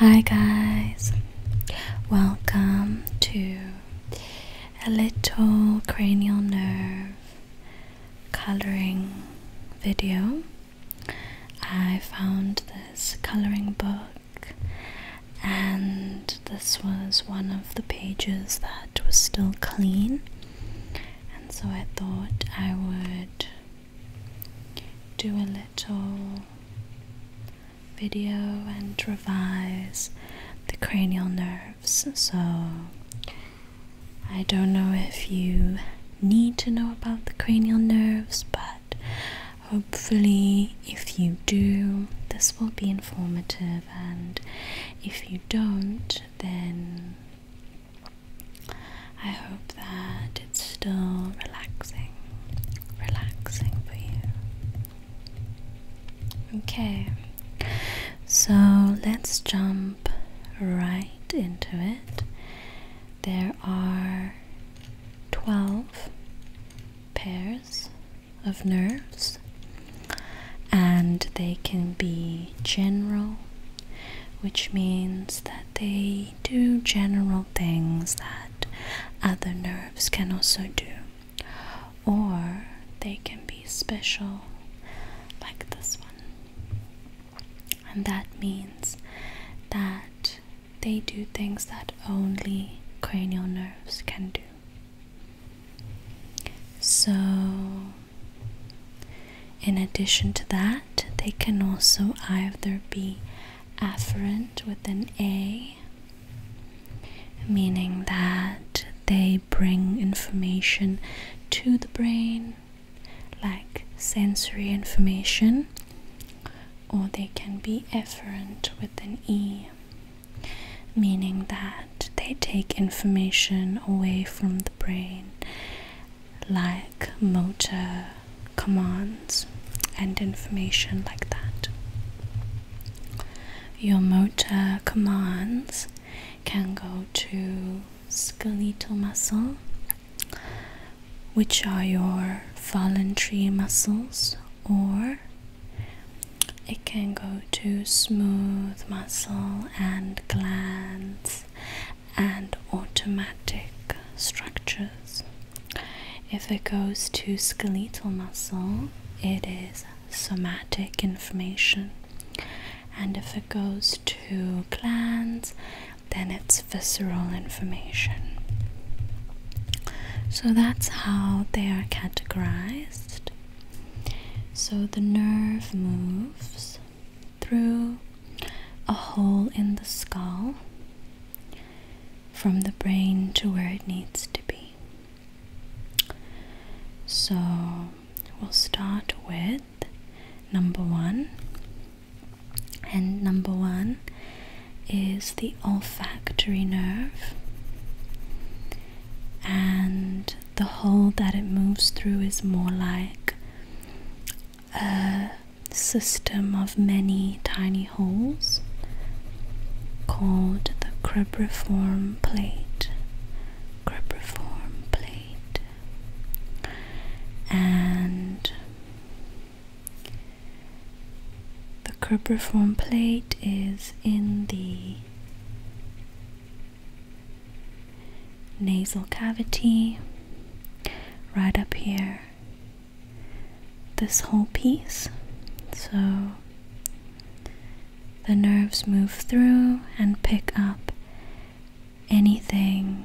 Hi, guys, welcome to a little cranial nerve coloring video. I found this coloring book, and this was one of the pages that was still clean, and so I thought I would do a little video and revise the cranial nerves. So, I don't know if you need to know about the cranial nerves, but hopefully, if you do, this will be informative, and if you don't, then I hope that it's still relaxing, relaxing for you. Okay, so let's jump right into it. There are 12 pairs of nerves, and they can be general, which means that they they do general things that other nerves can also do, or they can be special, like this one. And that means that they do things that only cranial nerves can do. So, in addition to that, they can also either be afferent with an A, meaning that they bring information to the brain, like sensory information, or they can be efferent with an E, meaning that they take information away from the brain like motor commands and information like that. Your motor commands can go to skeletal muscle, which are your voluntary muscles, or it can go to smooth muscle and glands and automatic structures. If it goes to skeletal muscle, it is somatic information, and if it goes to glands, then it's visceral information. So that's how they are categorized. So the nerve moves through a hole in the skull from the brain to where it needs to be. So we'll start with number one, and number one is the olfactory nerve, and the hole that it moves through is more like a system of many tiny holes called the cribiform plate. Cribriform plate. And the cribiform plate is in the nasal cavity right up here this whole piece so the nerves move through and pick up anything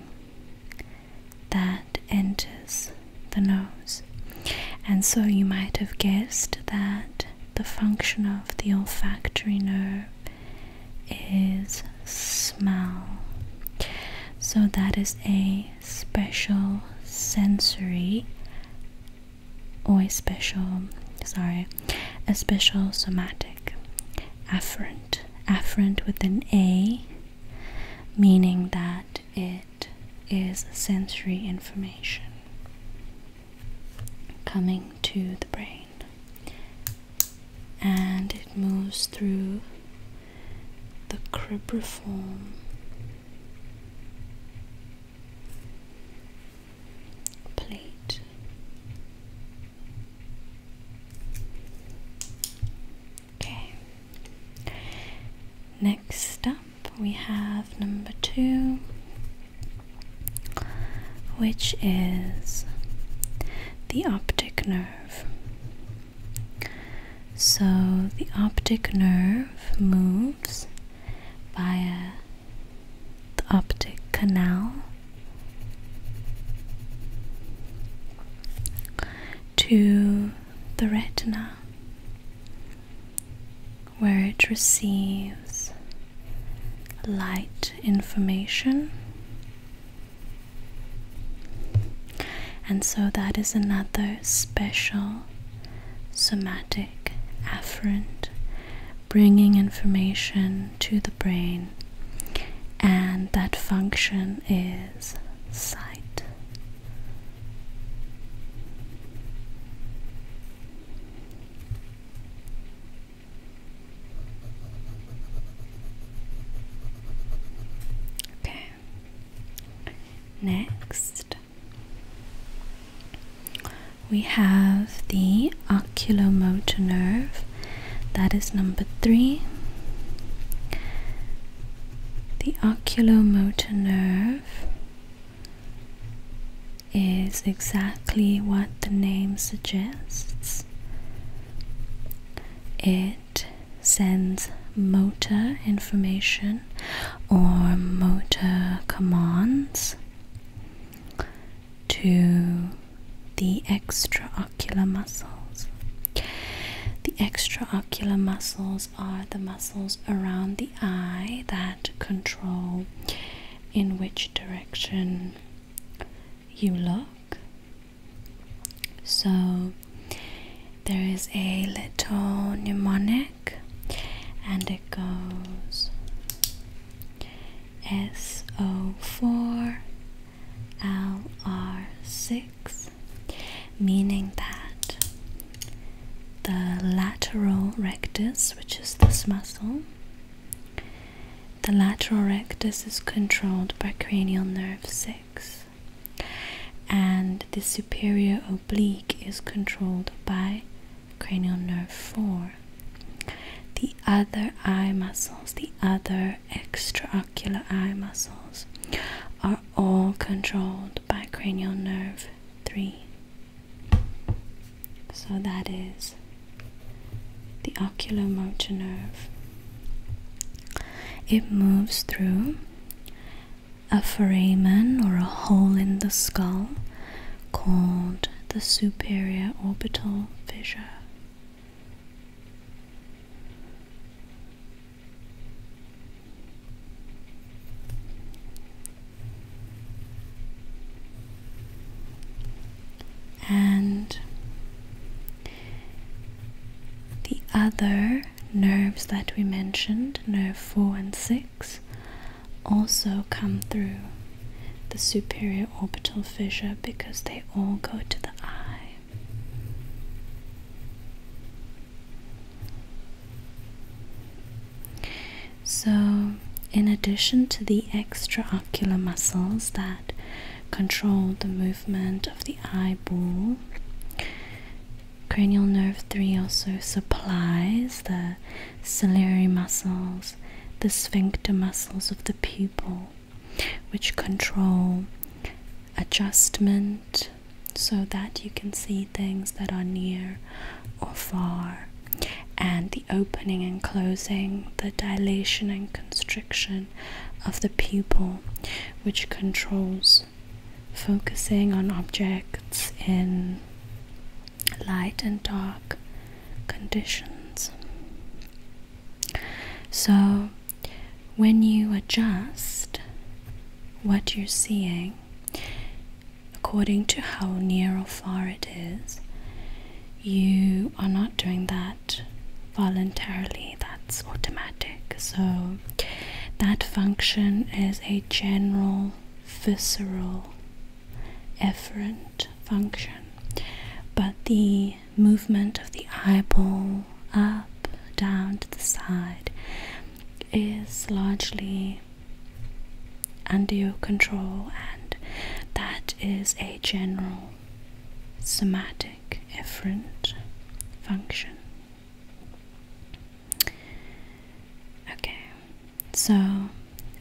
that enters the nose. And so you might have guessed that the function of the olfactory nerve is smell. So, that is a special sensory or a special, sorry, a special somatic afferent. Afferent with an A, meaning that it is sensory information coming to the brain and it moves through the cribiform plate okay next up we have number two which is the optic nerve so the optic nerve moves via the optic canal to the retina where it receives light information and so that is another special somatic afferent bringing information to the brain, and that function is sight. Okay. Next, we have the oculomotor nerve. That is number three. The oculomotor nerve is exactly what the name suggests. It it sends motor information or motor commands to the extraocular muscles. The extraocular muscles are the muscles around the eye that control in which direction you look. So there is a little mnemonic and it goes SO4 LR6, meaning that the lateral rectus, which is this muscle, the lateral rectus is controlled by cranial nerve 6 and the superior oblique is controlled by cranial nerve 4. The other eye muscles, the other extraocular eye muscles, are all controlled by cranial nerve 3. So that is the oculomotor nerve it moves through a foramen or a hole in the skull called the superior orbital fissure. And the other nerves that we mentioned, nerve 4 and 6, also come through the superior orbital fissure because they all go to the eye. So, in addition to the extraocular muscles that control the movement of the eyeball. Cranial nerve 3 also supplies the ciliary muscles, the sphincter muscles of the pupil, which control adjustment so that you can see things that are near or far, and the opening and closing, the dilation and constriction of the pupil, which controls focusing on objects in light and dark conditions. So, when you adjust what you're seeing according to how near or far it is, you are not doing that voluntarily that's automatic so that function is a general visceral efferent function but the movement of the eyeball up down to the side is largely under your control and that is a general somatic efferent function. Okay, so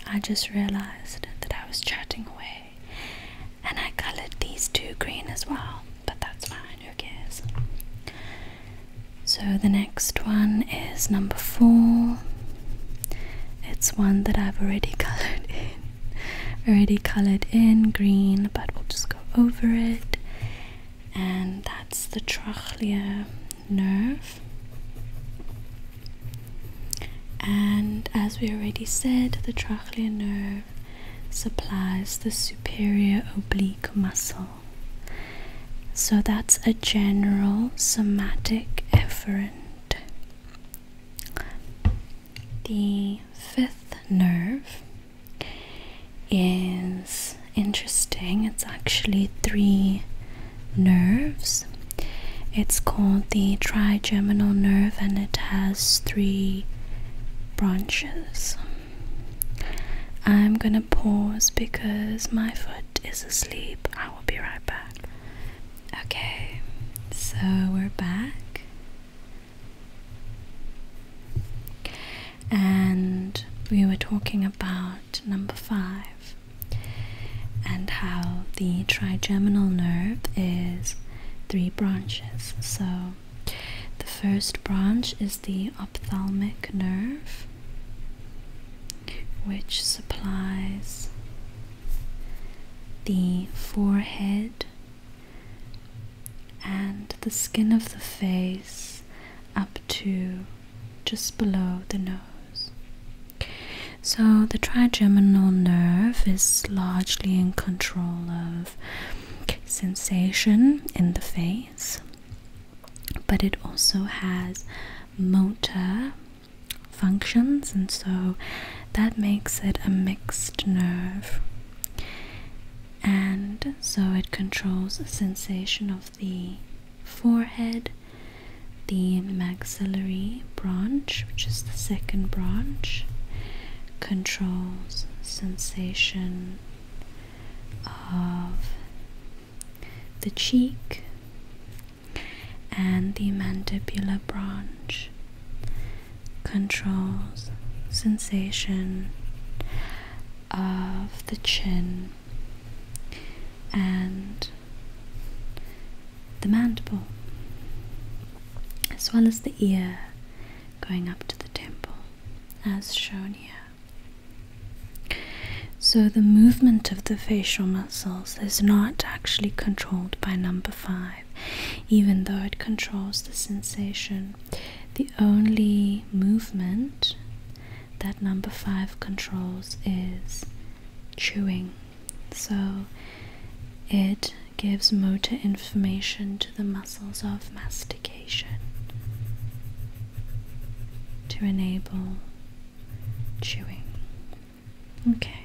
I just realized that I was chatting away and I colored these two green as well, but that's fine, who cares? So the next one is number four. It's one that I've already colored in, already colored in green, but we'll just go over it, and that's the trachea nerve. And as we already said, the trachea nerve supplies the superior oblique muscle. So that's a general somatic efferent. The fifth nerve is interesting. It's actually three nerves. It's called the trigeminal nerve and it has three branches. I'm gonna pause because my foot is asleep. I will be right back. Okay, so we're back. And we were talking about number five and how the trigeminal nerve is three branches. So the first branch is the ophthalmic nerve, which supplies the forehead and the skin of the face up to just below the nose. So, the trigeminal nerve is largely in control of sensation in the face, but it also has motor functions, and so that makes it a mixed nerve and so it controls sensation of the forehead, the maxillary branch, which is the second branch, controls sensation of the cheek and the mandibular branch controls sensation of the chin and the mandible, as well as the ear going up to the temple, as shown here. So, the movement of the facial muscles is not actually controlled by number five, even though it controls the sensation the only movement that number five controls is chewing. So it gives motor information to the muscles of mastication to enable chewing. Okay.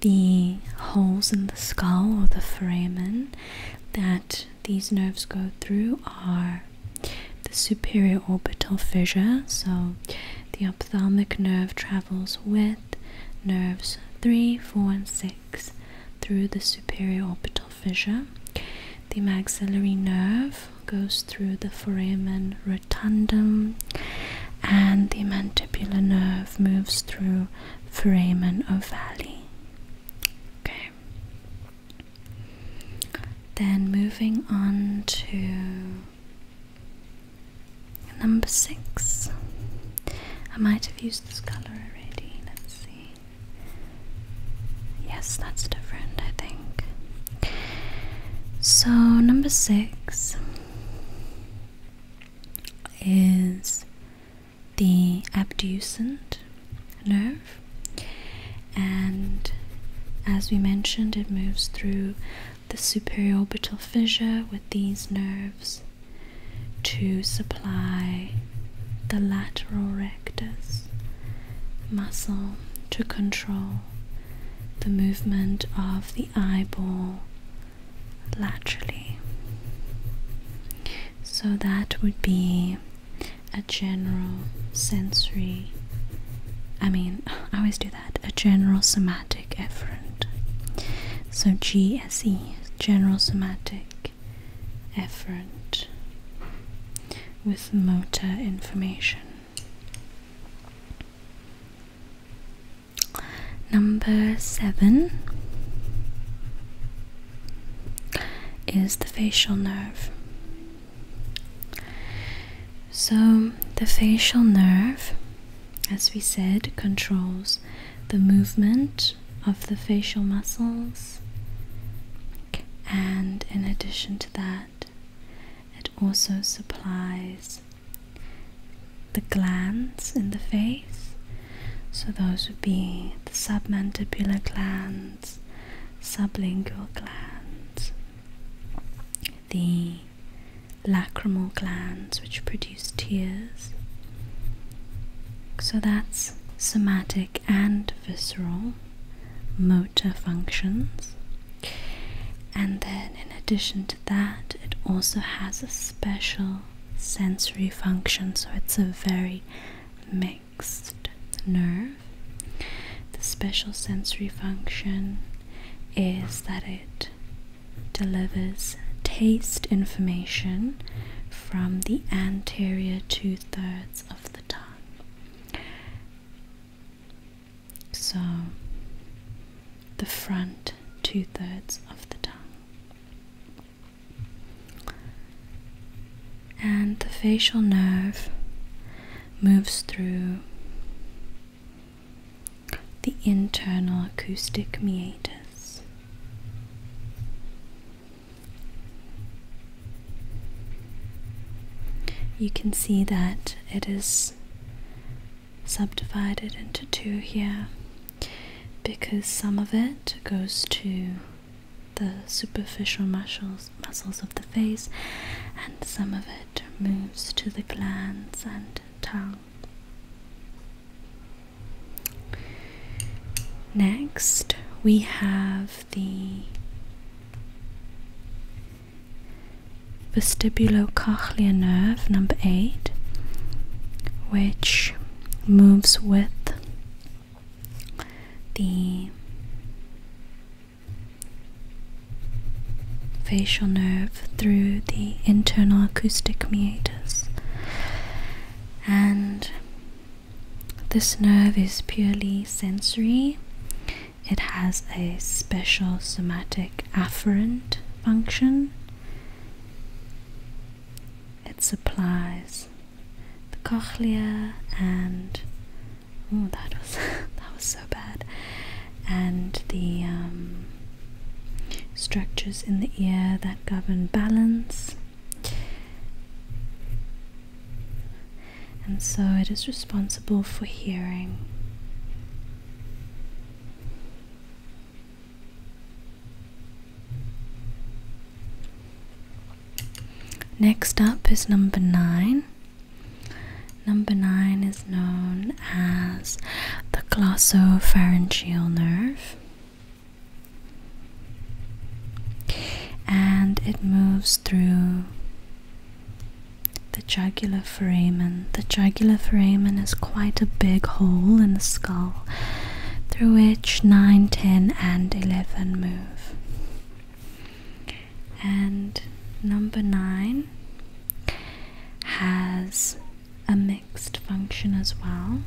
The holes in the skull or the foramen that these nerves go through are the superior orbital fissure, so the ophthalmic nerve travels with nerves 3, 4, and 6 through the superior orbital fissure. The maxillary nerve goes through the foramen rotundum, and the mandibular nerve moves through foramen ovale. Okay. Then moving on to number six. I might have used this color already. Let's see. Yes, that's different, I think. So, number six is the abducent nerve, and as we mentioned, it moves through the superior orbital fissure with these nerves to supply the lateral rectus muscle to control the movement of the eyeball laterally. So that would be a general sensory. I mean, I always do that. A general somatic efferent. So GSE, general somatic efferent with motor information. Number seven is the facial nerve. So, the facial nerve, as we said, controls the movement of the facial muscles, and in addition to that, it also supplies the glands in the face so those would be the submandibular glands, sublingual glands, the lacrimal glands which produce tears. So that's somatic and visceral motor functions. And then, in addition to that, it also has a special sensory function, so it's a very mixed nerve. The special sensory function is that it delivers taste information from the anterior two thirds of the tongue. So, the front two thirds of the tongue. And the facial nerve moves through the internal acoustic meatus. You can see that it is subdivided into two here because some of it goes to the superficial muscles, muscles of the face, and some of it moves to the glands and tongue. Next, we have the vestibulocochlear nerve number 8 which moves with the facial nerve through the internal acoustic meatus. And this nerve is purely sensory. It has a special somatic afferent function. It supplies the cochlea and oh that was that was so bad and the um, structures in the ear that govern balance and so it is responsible for hearing Next up is number nine. Number nine is known as the glossopharyngeal nerve, and it moves through the jugular foramen. The jugular foramen is quite a big hole in the skull, through which 9, 10, and 11 move. And number 9 has a mixed function as well.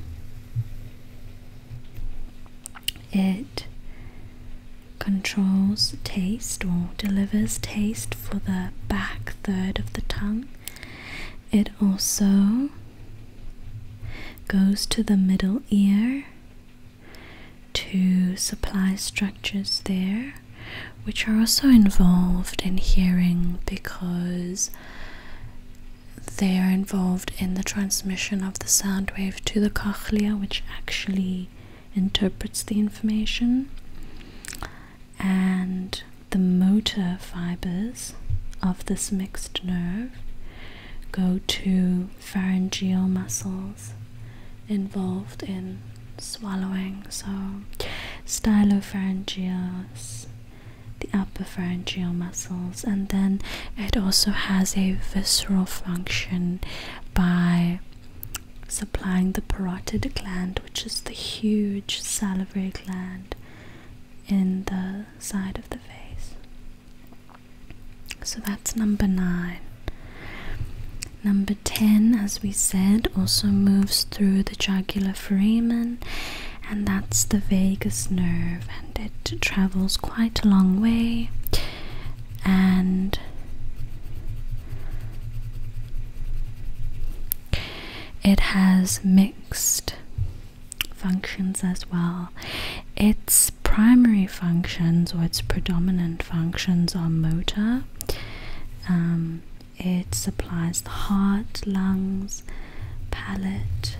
It controls taste or delivers taste for the back third of the tongue. It also goes to the middle ear to supply structures there, which are also involved in hearing because they are involved in the transmission of the sound wave to the cochlea, which actually interprets the information. And the motor fibers of this mixed nerve go to pharyngeal muscles involved in swallowing. So, stylopharyngeus, the upper pharyngeal muscles, and then it also has a visceral function by supplying the parotid gland, which is the huge salivary gland in the side of the face. So that's number nine. Number 10, as we said, also moves through the jugular foramen, and that's the vagus nerve, and it travels quite a long way. And it has mixed functions as well. Its primary functions or its predominant functions are motor. Um, it supplies the heart, lungs, palate,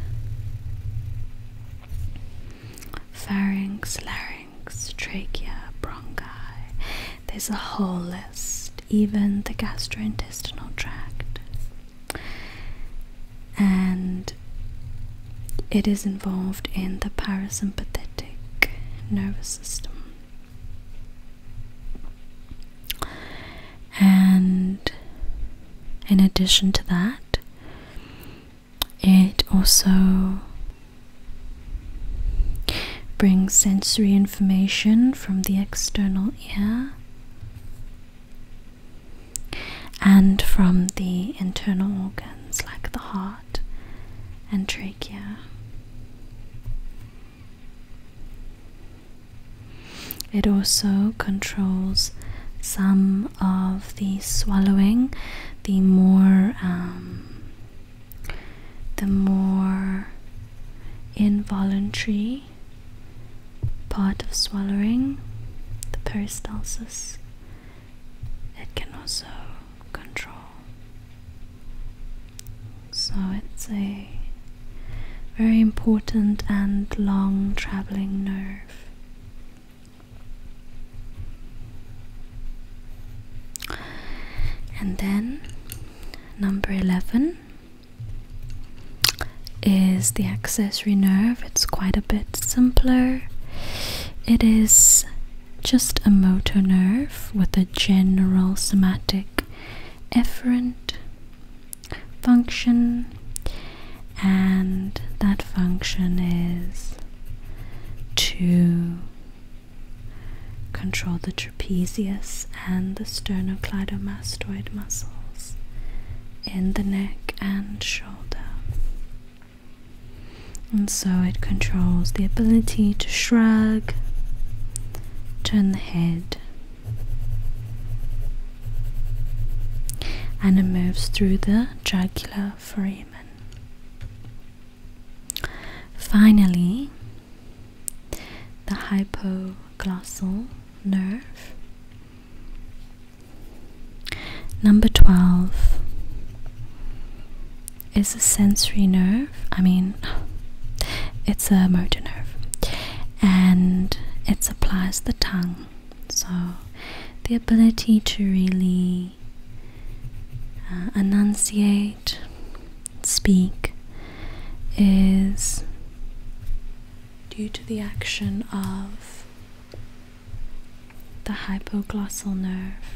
pharynx, larynx, trachea, bronchi. There's a whole list, even the gastrointestinal tract and it is involved in the parasympathetic nervous system. And in addition to that, it also brings sensory information from the external ear and from the internal organs like the heart and trachea. It also controls some of the swallowing, the more um, the more involuntary part of swallowing, the peristalsis, it can also control. So it's a very important and long traveling nerve. And then number 11 is the accessory nerve. It's quite a bit simpler. It is just a motor nerve with a general somatic efferent function, and that function is to control the trapezius and the sternocleidomastoid muscles in the neck and shoulder. And so it controls the ability to shrug, turn the head, and it moves through the jugular foramen. Finally, the hypoglossal nerve Number 12 is a sensory nerve. I mean, it's a motor nerve and it supplies the tongue. So, the ability to really uh, enunciate, speak, is due to the action of the hypoglossal nerve,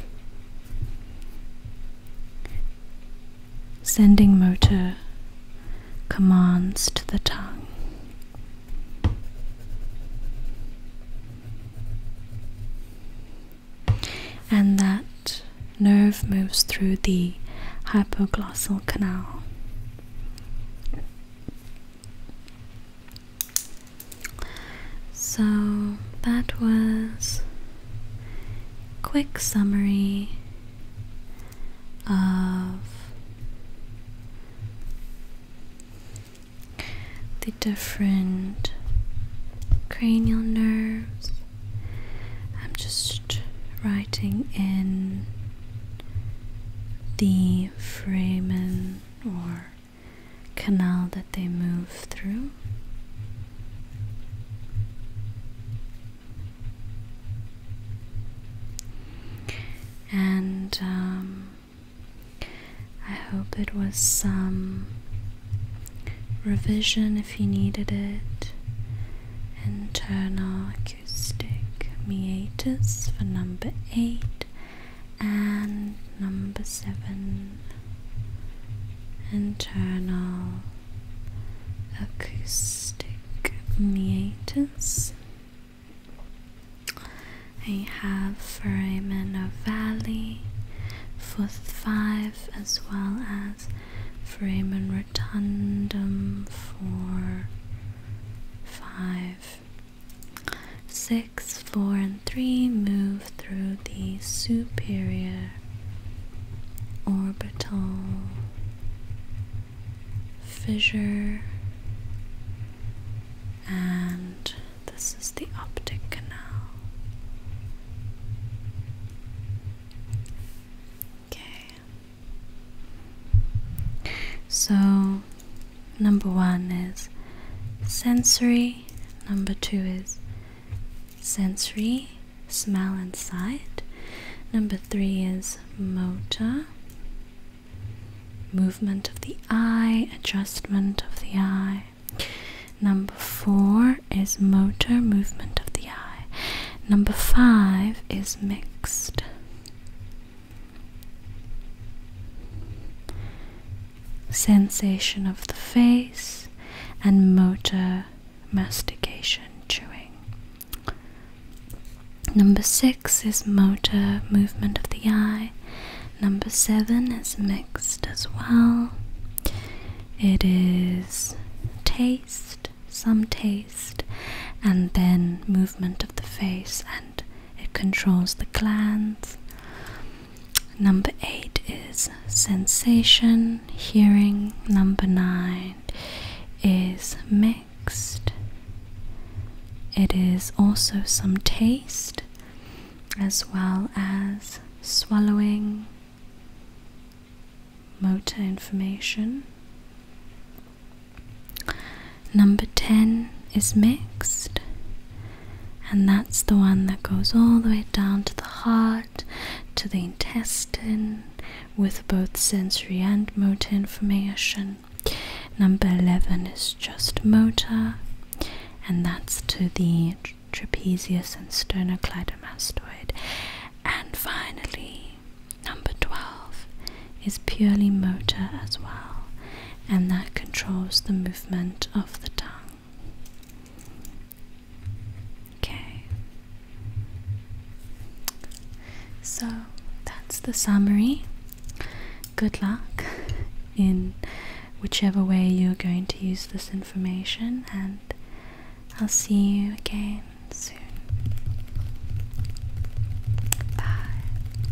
sending motor commands to the tongue. And that nerve moves through the hypoglossal canal. So that was quick summary of the different cranial nerves. I'm just writing in the Freeman or canal that they move through. And um, I hope it was some revision if you needed it. Internal acoustic meatus for number 8 and number seven internal acoustic meatus. I have foramen ovale, fourth five, as well as foramen rotundum four, five, Six, four, and three move through the superior orbital fissure, and this is the optic canal. Okay. So number one is sensory, number two is sensory, smell and sight, number three is motor, movement of the eye, adjustment of the eye. Number four is motor movement of the eye. Number five is mixed sensation of the face, and motor mastication chewing. Number six is motor movement of the eye. Number seven is mixed as well. It is taste, some taste, and then movement of the face and it controls the glands. Number eight is sensation, hearing. Number nine is mixed. It is also some taste as well as swallowing motor information. Number 10 is mixed, and that's the one that goes all the way down to the heart, to the intestine, with both sensory and motor information. Number 11 is just motor, and that's to the trapezius and sternocleidomastoid. And finally, number 12 is purely motor as well, and that controls the movement of the tongue. Okay. So that's the summary. Good luck in whichever way you're going to use this information, and I'll see you again soon. Bye.